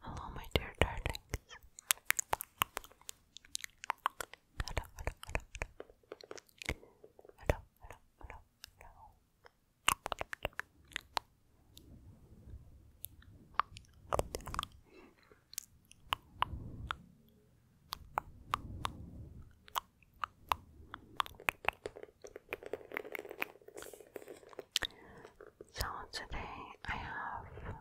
Hello, my dear darling. So today I have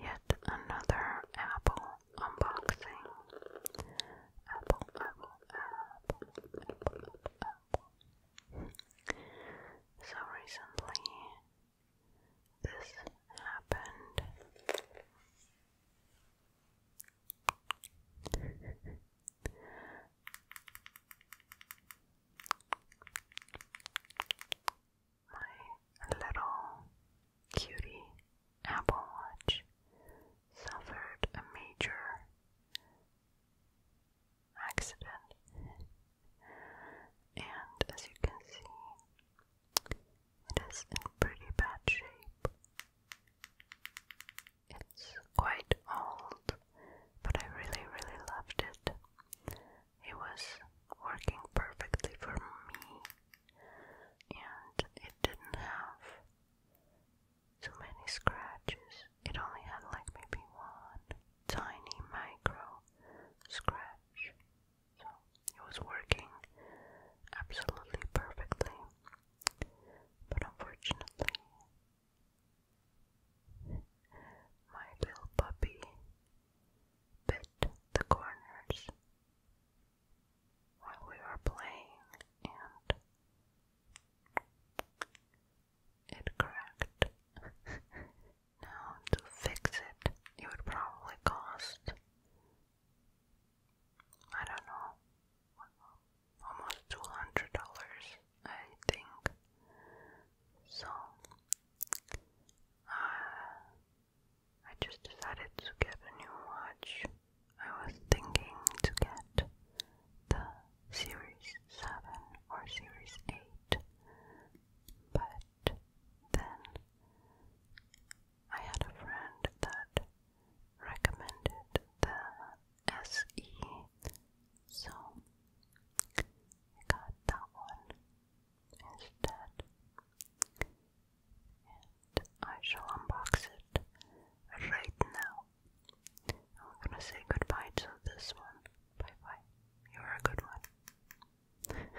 yet another apple unboxing. Apple, apple, apple, apple, So recently this happened. My little cutie Apple Watch suffered a major accident, and as you can see, it is in pretty bad shape. It's quite old, but I really, really loved it it was working perfectly for me, and it didn't have too many scratches. It only had like maybe one tiny micro scratch. So it was working absolutely perfectly. But unfortunately, my little puppy bit the corners while we were playing and it cracked. now, to fix it, it would probably cost I don't know almost two hundred dollars, I think. So uh, I just decided to get a new watch. I was thinking to get the Series 7 or Series 8, but then I had a friend that recommended the SE so I got that one instead. And I shall unbox it right now. I'm gonna say goodbye to this one. Bye bye. You're a good one.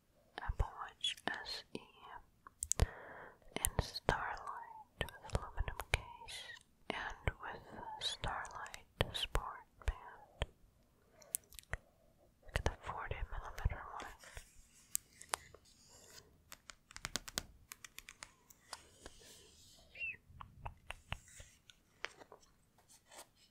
Apple Watch SE in Starlight aluminum case and with Starlight Sport Band. Look at the 40 millimeter one.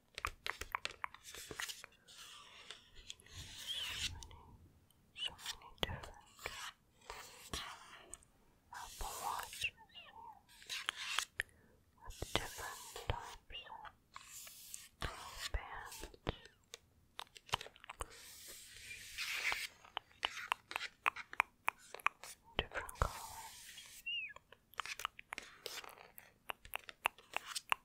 so many different Apple Watches with different types of bands. Different colors.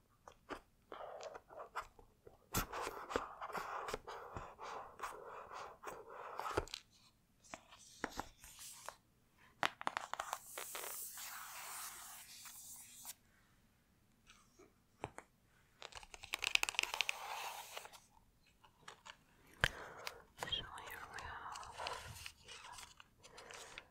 So here we have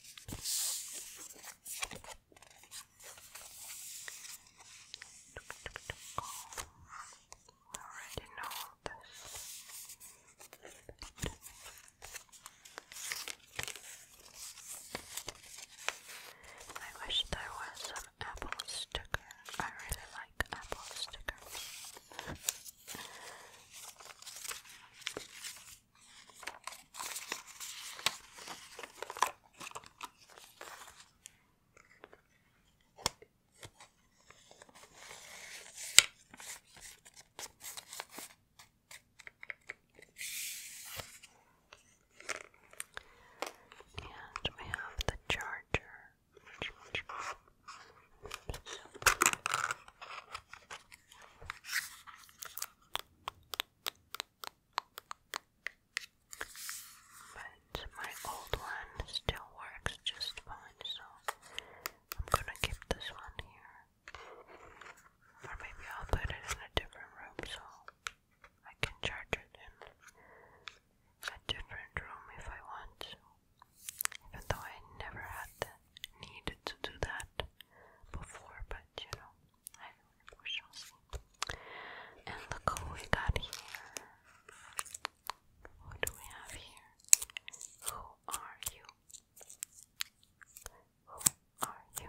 already know this. I wish there was some apple stickers. I really like apple stickers. And we have the charger. But my old one still works just fine, so I'm gonna keep this one here. Or maybe I'll put it in a different room so I can charge it in a different room if I want Even though I never had this need to do that before, but you know, we shall see. And look who we got here. What do we have here? Who are you? Who are you?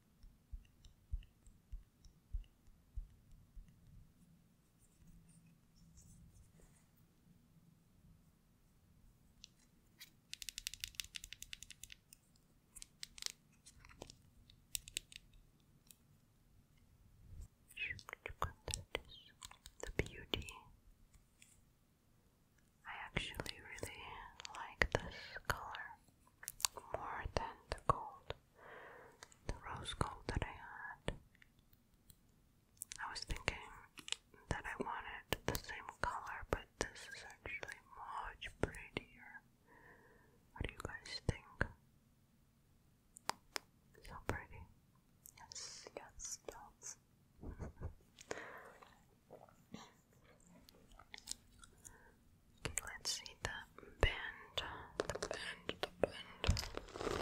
Look at that, the beauty I actually really like this color more than the gold, the rose gold that I had. I was thinking that I wanted the same color, but this is actually much prettier. What do you guys think? So pretty. Yes, yes, dots. Okay, let's see the bend, the bend, the bend.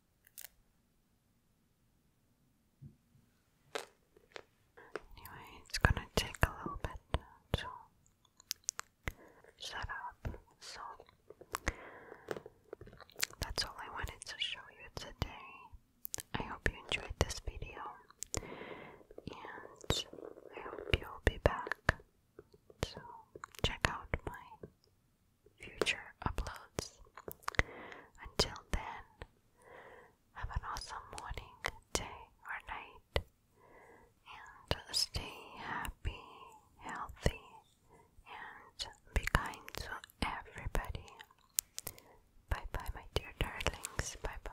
Anyway, it's gonna take a little bit to set up, so that's all I wanted to show you today. I hope you enjoyed this video, and I hope you'll be back check out my future uploads. Until then, have an awesome morning, day, or night, and stay happy, healthy, and be kind to everybody. Bye bye, my dear darlings. Bye bye.